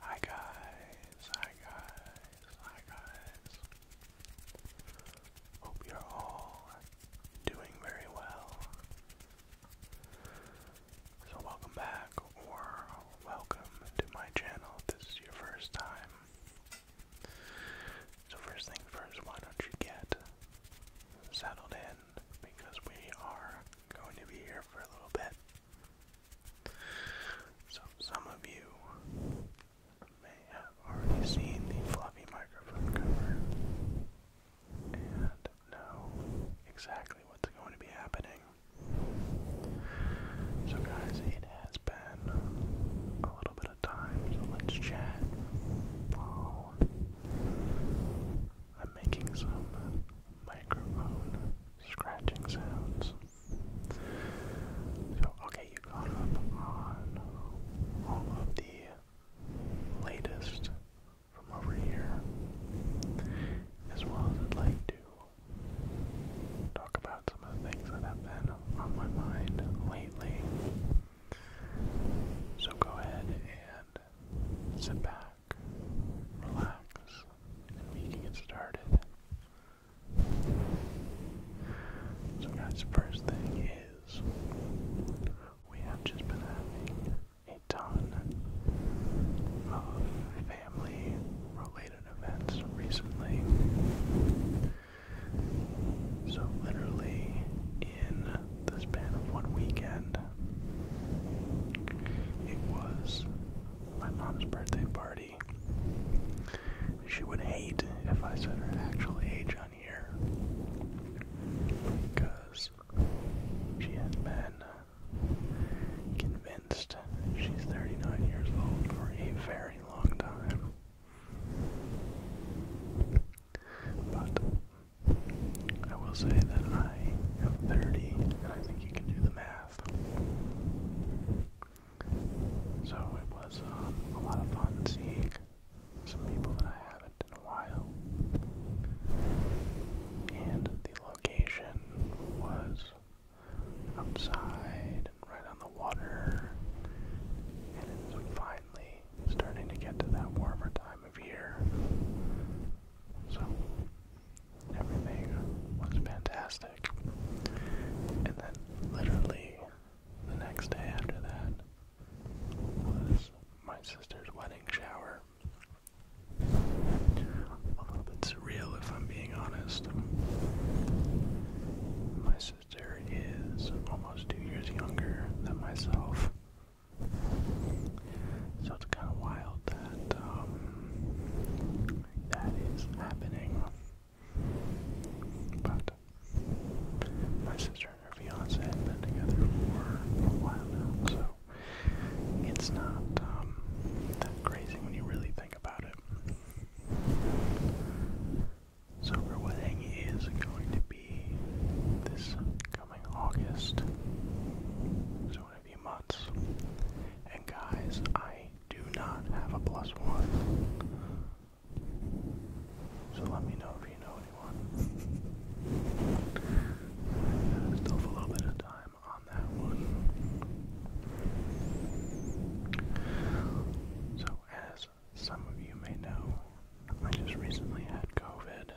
Hi guys, hi guys, hi guys. Hope you're all doing very well. So welcome back or welcome to my channel this is your first time. So first thing first, why don't you get settled in because we are going to be here for a little bit. So, some of you may have already seen the floppy microphone cover and know exactly what's going to be happening. So, guys, it has been a little bit of time, so let's chat. I'm making some microphone scratching sounds. okay, you caught up on all of the latest from over here, as well as like to talk about some of the things that have been on my mind lately. So go ahead and sit back, back, relax, and we can get started. So guys, first thing is, we have just been having a ton of family related events recently. So literally in the span of one weekend, it was my mom's birthday party. She would hate if I said her actual age on here because she has been convinced she's 39 years old for a very long time. But I will say that I am 30, and I think you can do math. So it was um, a lot of fun seeing some people that I haven't in a while. And the location was outside and right on the water. And it's finally starting to get to that warmer time of year. So Everything was fantastic. And then, literally, the next day after that was my sister's wedding shower. A little bit surreal, if I'm being honest. My sister is almost two years younger than myself. So it's kind of wild that um, that is happening. But my sister and her fiance have been together for a while now, so it's not um, that crazy when you really think about it. So her wedding is going to be this coming August few months. And guys, I do not have a plus one. So let me know if you know anyone. Still have a little bit of time on that one. So as some of you may know, I just recently had COVID.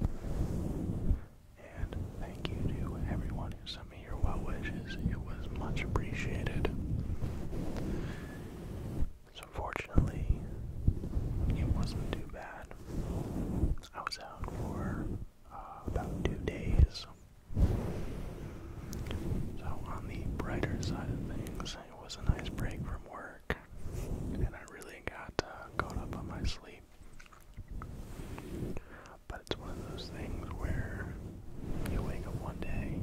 And thank you to everyone who sent me your well wishes. It was much appreciated. So fortunately, it wasn't too bad. I was out for uh, about two days. So on the brighter side of things, it was a nice break from work, and I really got uh, caught up on my sleep. But it's one of those things where you wake up one day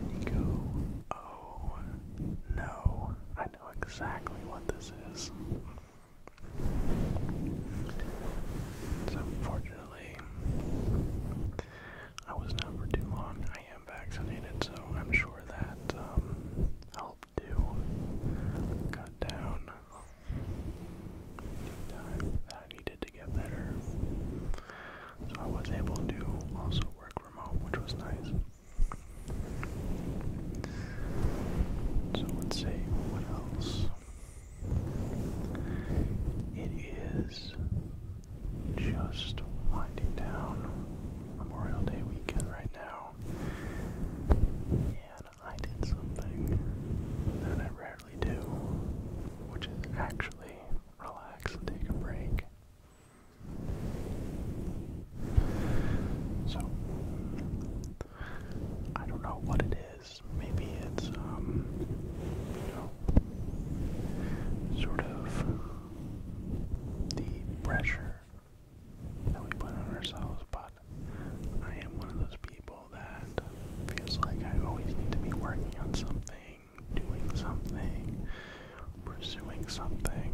and you go, oh no, I know exactly what this is. So unfortunately, I was not for too long. I am vaccinated, so I'm sure that um, helped to cut down that I needed to get better. So I was able to also work remote, which was nice. So let's see what else. It is just winding down Memorial Day weekend right now. I did something that I rarely do, which is actually relax and take a break. So, I don't know what it is. Maybe it's, um, you know, sort of the pressure that we put on ourselves but. I am one of those people that feels like I always need to be working on something, doing something, pursuing something.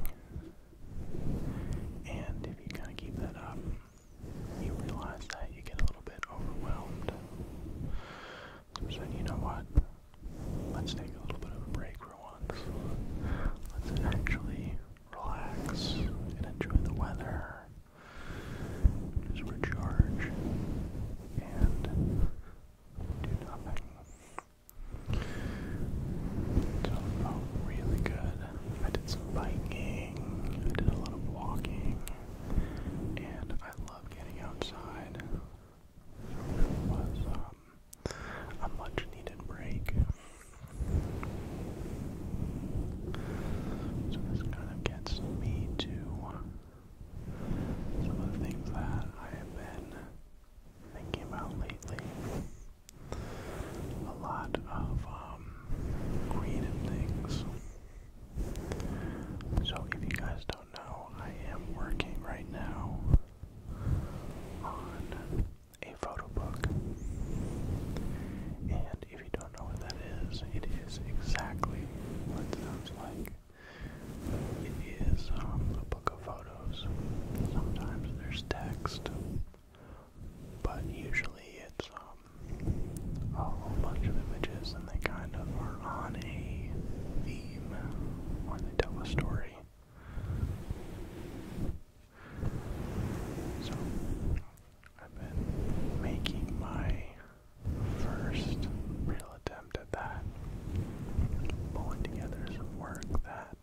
And if you kind of keep that up, you realize that you get a little bit overwhelmed. So I you know what? Let's take a little bit of a break for once. Let's actually relax and enjoy the weather just recharge and do nothing. So it oh, felt really good. I did some biking, I did a lot of walking, and I love getting outside. it was um, a much needed break. So this kind of gets me to some of things that I have been thinking about lately. A lot of creative um, things. So if you guys don't know, I am working right now on a photo book. And if you don't know what that is, it is exactly what it sounds like. It is um, book of photos. Sometimes there's text, but usually it's um, a whole bunch of images and they kind of are on a theme or they tell a story. So I've been making my first real attempt at that, pulling together some work that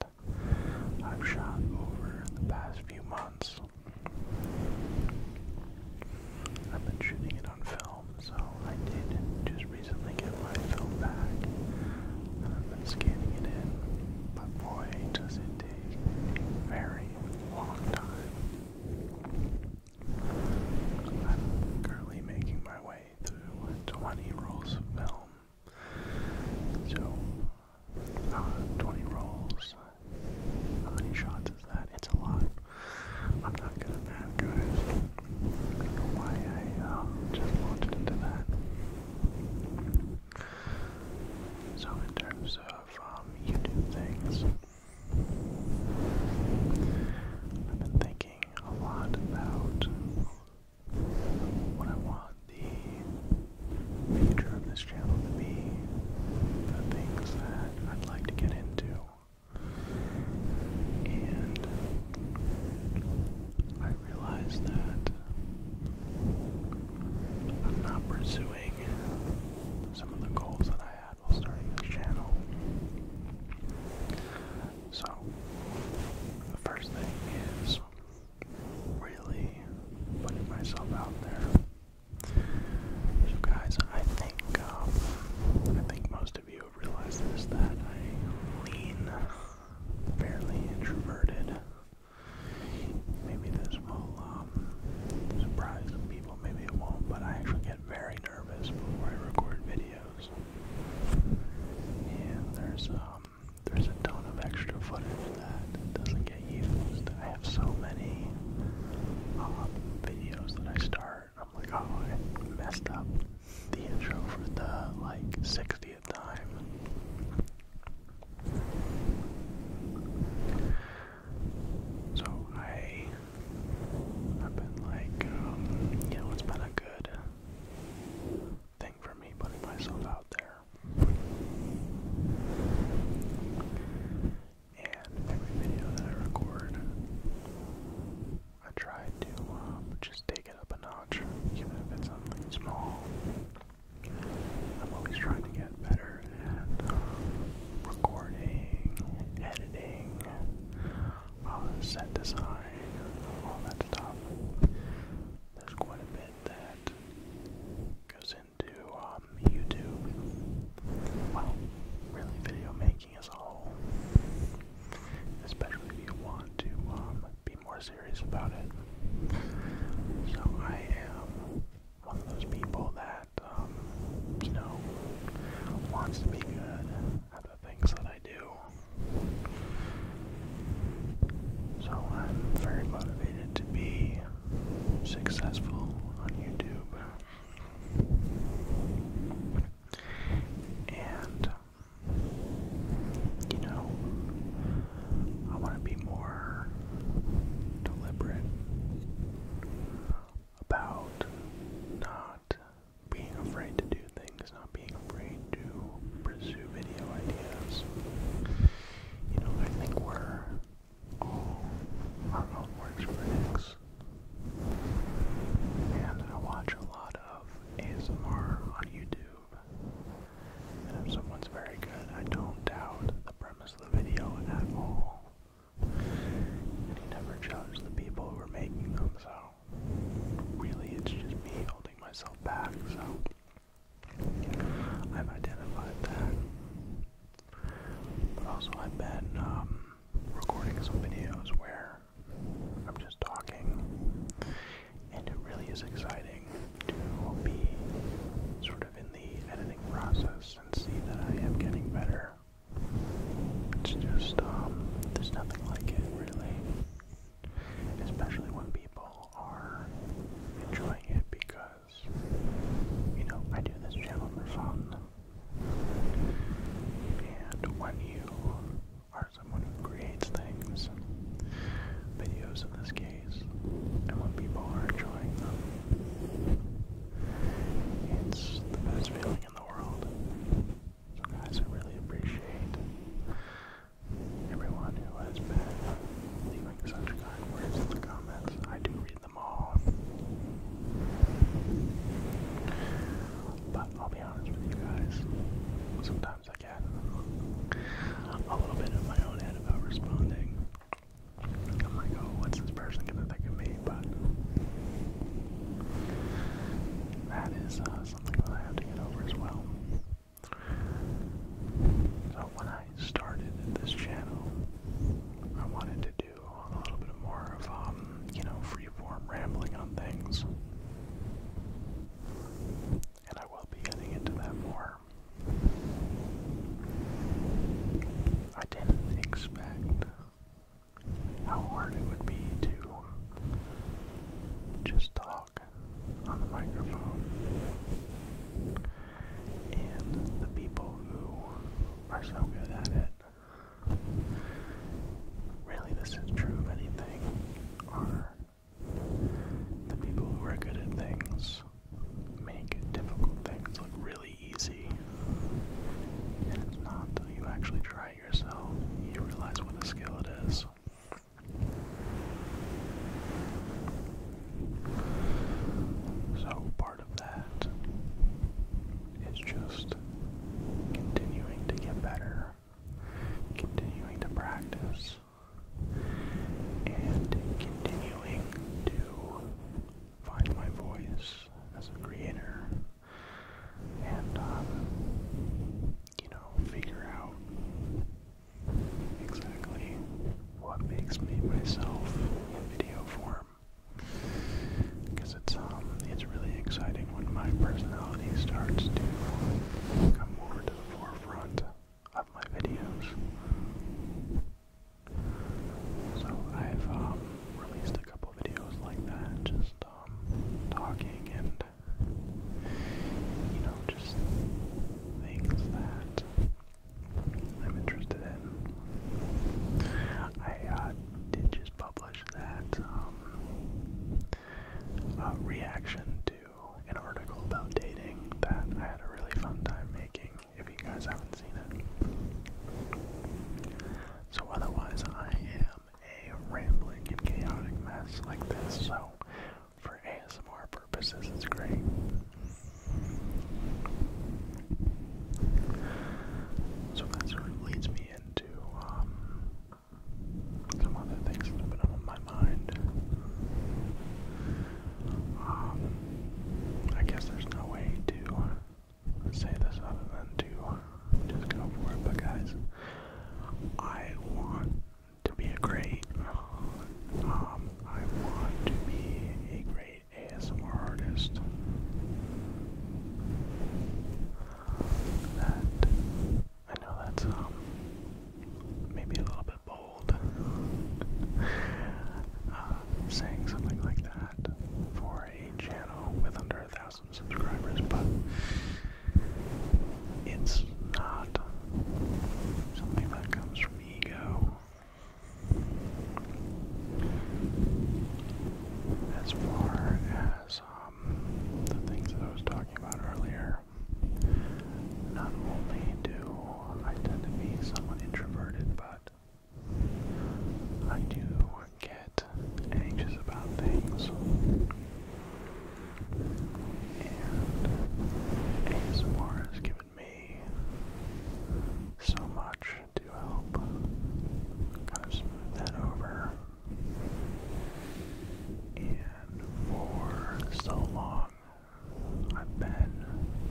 I've shot over the past few months. I've been shooting it on film, so I did just recently get my film back. And I've been scanning it in, but boy, does it take very long time. I'm currently making my way through 20 rolls of film. So, uh, 20 rolls, how many shots is that? It's a lot. I'm not good at that, I don't know why I um, just launched into that. So, in terms of of YouTube things. I've been thinking a lot about what I want the future of this channel to be, the things that I'd like to get into. And I realize that I'm not pursuing some of the goals that I had while starting this channel. So, the first thing is really putting myself out there. So, guys, I think um, I think most of you realize this that I lean fairly introverted. Maybe this will um, surprise some people, maybe it won't, but I actually get very nervous before I record videos. And there's um, there's a ton of extra footage that doesn't get used. I have so many um, videos that I start, I'm like, oh, I messed up the intro for the like 60th time. So I, I've been like, um, you know, it's been a good thing for me putting myself out there. And every video that I record, I try to um, just take it up a notch, even if it's something small. I'm always trying to get better better recording, editing, set design, all that stuff. There's quite a bit that goes into um, YouTube. Well, really video making as a whole. Especially if you want to um, be more serious about it. So I am one of those people that um, you know, wants to be good at the things that I do. So I'm very motivated to be successful on YouTube. And, you know, I want to be more deliberate about not being afraid to do things, not being afraid to pursue video ideas. You know, I think we're all our own worst critics. And I watch a lot of ASMR on YouTube. And if someone's very good, I don't doubt the premise of the video at all. And he never judged the people who were making them, so really it's just me holding myself back, so I've identified that. But also I've been um, recording some videos where I'm just talking, and it really is exciting to be sort of in the editing process and see that I am getting better. It's just, um, there's nothing like it really. Especially when people are enjoying it because, you know, I do this channel for fun. And when you are someone who creates things, videos in this case, and when people are enjoying them, it's the best feeling in the world. So guys, I really appreciate everyone who has been leaving such kind words in the comments. I do read them all. But I'll be honest with you guys, sometimes I get a little bit in my own head about responding. I'm like, oh, what's this person gonna think of me? But that is uh, something that I have to get over as well. So when I started this channel, I wanted to do a little bit more of, um, you know, free-form rambling on things. And I will be getting into that more I didn't expect how hard it would be to just talk on the microphone. And the people who are so good at it, really, this is true of anything, are the people who are good at things make difficult things look really easy. And it's not until you actually try yourself, you realize what a skill it is. So, part of that is just continuing to get better, continuing to practice, and continuing to find my voice as a creator and, um, you know, figure out exactly what makes me myself in video form. Because it's, um, it's really exciting when my personality starts to come more to the forefront of my videos. So I've um, released a couple videos like that, just um, talking and you know, just things that I'm interested in. I uh, did just publish that um, reaction to an article about dating that I had a really fun time making if you guys haven't seen it. So otherwise, I am a rambling and chaotic mess like this, so for ASMR purposes, it's great. So that sort of leads me into um, some other things that have been on my mind. Um, I guess there's no way to say this other than to just go for it, but guys, I want to be a great, um, I want to be a great ASMR artist that, I know that's, um, maybe a little bit bold, uh, saying something like that, for a channel with under a thousand subscribers, but it's not something that comes from ego. As far as um, the things that I was talking about earlier, not only do I tend to be somewhat introverted, but I do get anxious about things. And ASMR has given me so much to help kind of over. And for so long, I've been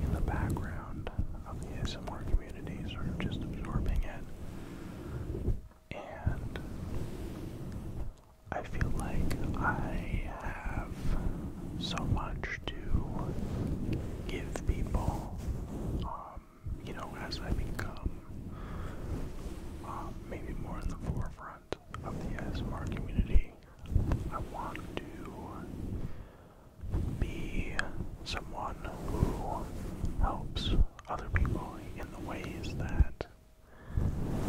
in the background of the ASMR community sort of just absorbing it. And I feel like I have so much to give people, um, you know, as I become um, maybe more in the forefront of the ASMR community. I want to be someone who helps other people in the ways that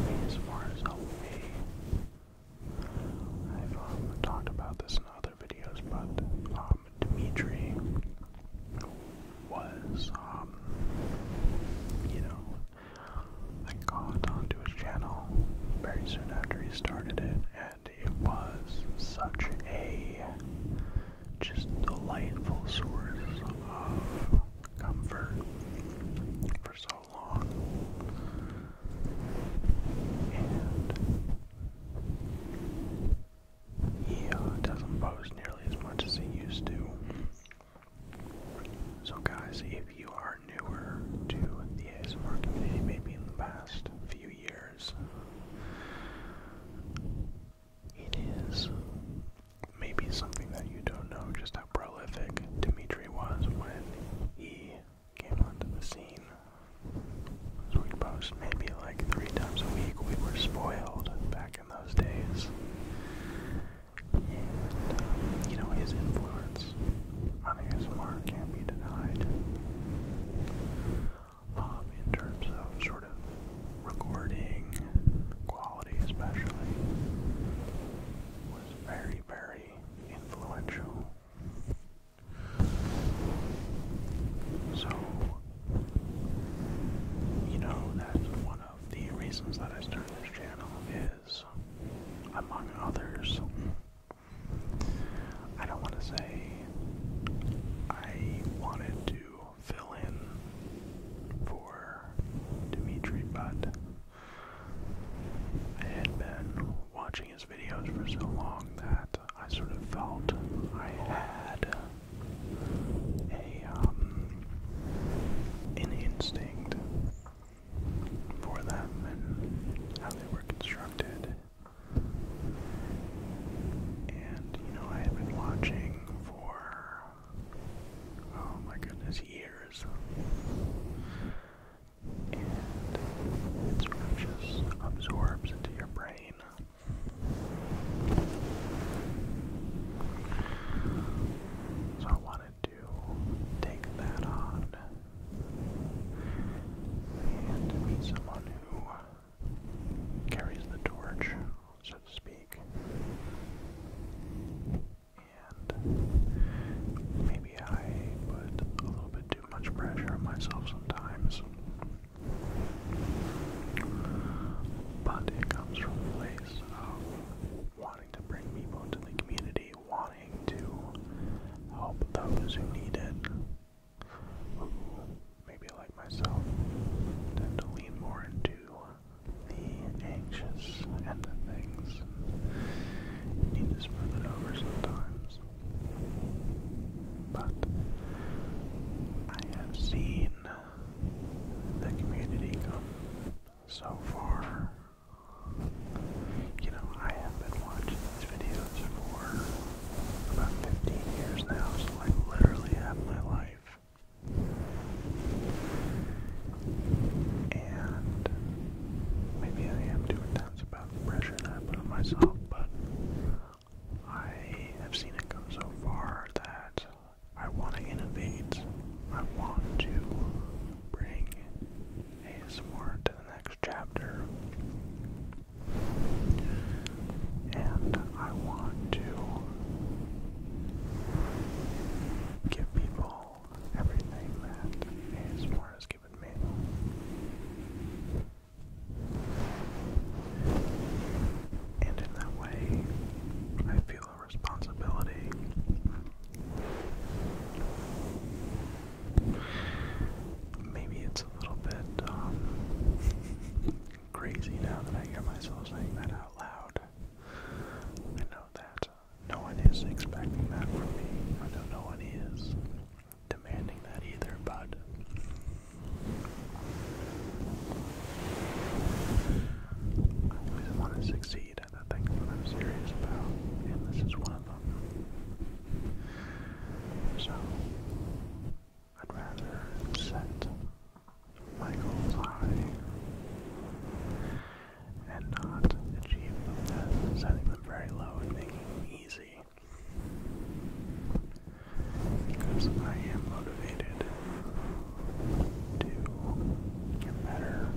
ASMR has helped me. I've um, talked about this in other videos, but um, Dimitri was, um, you know, I got onto his channel very soon after he started it, it was such a just delightful source of comfort for so long. he uh, doesn't post nearly as much as he used to. So, guys, if you are newer to the ASMR community, maybe in the past few years, years. It is maybe something that you don't know just how prolific Dimitri was when he came onto the scene. we'd post maybe like three times a week. We were spoiled back in those days. And, you know, his influence on ASMR can't be denied. Um, in terms of sort of recording quality, especially, was very, very influential. So, you know, that's one of the reasons that I started this channel is, among others, I don't want to say I wanted to fill in for Dimitri, but I had been watching his videos for so long that I sort of felt I had a um, an instinct for them and how they were constructed and, you know, I have been watching for, oh my goodness, years. And it just absorbs into your brain. So I wanted to take that on and be someone who carries the torch, so to speak. And maybe I put a little bit too much pressure on myself sometimes. But it comes from a place of wanting to bring people into the community, wanting to help those who need it, maybe like myself tend to lean more into the anxious end of things need to smooth it over sometimes. But I have seen the community come so far. You know, I have been watching these videos for about 15 years now, so I literally have my life. And maybe I am too intense about the pressure that I myself, but I have seen it go so far that I want to innovate. I want to bring ASMR to the next chapter. And I want to give people everything that ASMR has given me. And in that way, I feel a responsibility maybe a little bit um, crazy now that I hear myself saying that out loud. I know that uh, no one is expecting that from me. I know no one is demanding that either, but I always want to succeed at the things that I'm serious about, and this is one of them. So, I'd rather set Michael's high and not achieve them death, setting them very low and making easy. Because I am motivated to get better,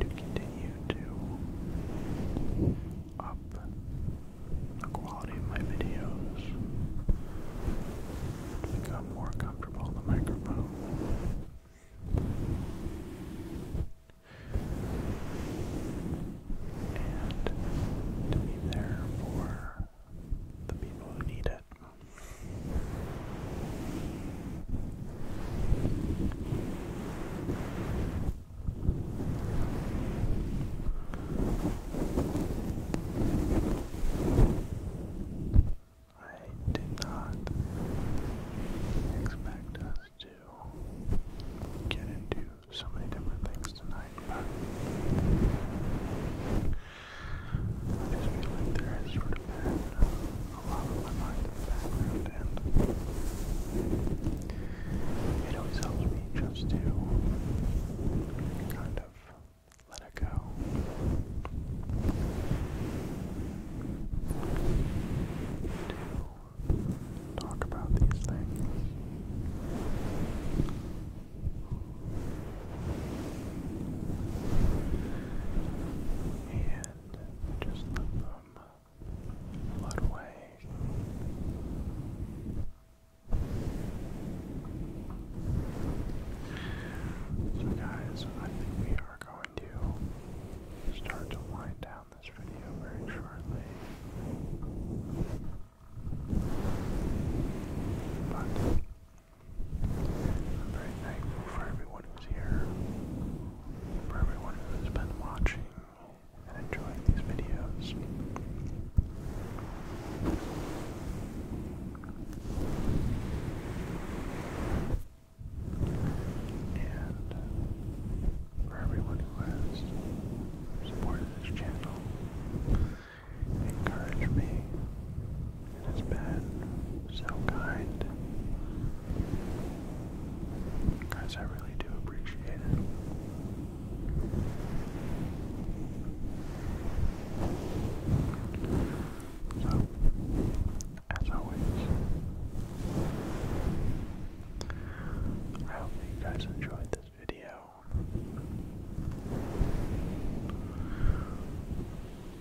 to continue to up the quality of my videos, become more comfortable in the microphone. And to be there for the people who need it. I did not expect us to get into so many different things tonight, I just feel like there sort of a lot on my mind in the background, it always helps me just to kind of let it go. To talk about these things. And just let them flood away. So, guys, I think we are going to start to wind down this video very shortly. But I'm very thankful for everyone who's here, for everyone who's been watching and enjoying these videos. And uh, for everyone who has supported this channel, encouraged me, and has been so kind. Guys, I really do appreciate it. So, as always, I hope you guys enjoyed this video.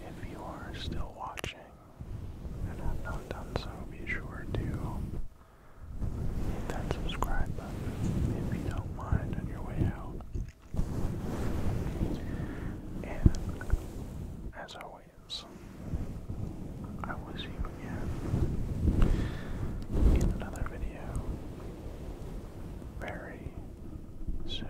If you are still watching and have not done so, be sure to Hit that subscribe button if you don't mind on your way out. And as always, I will see you again in another video very soon.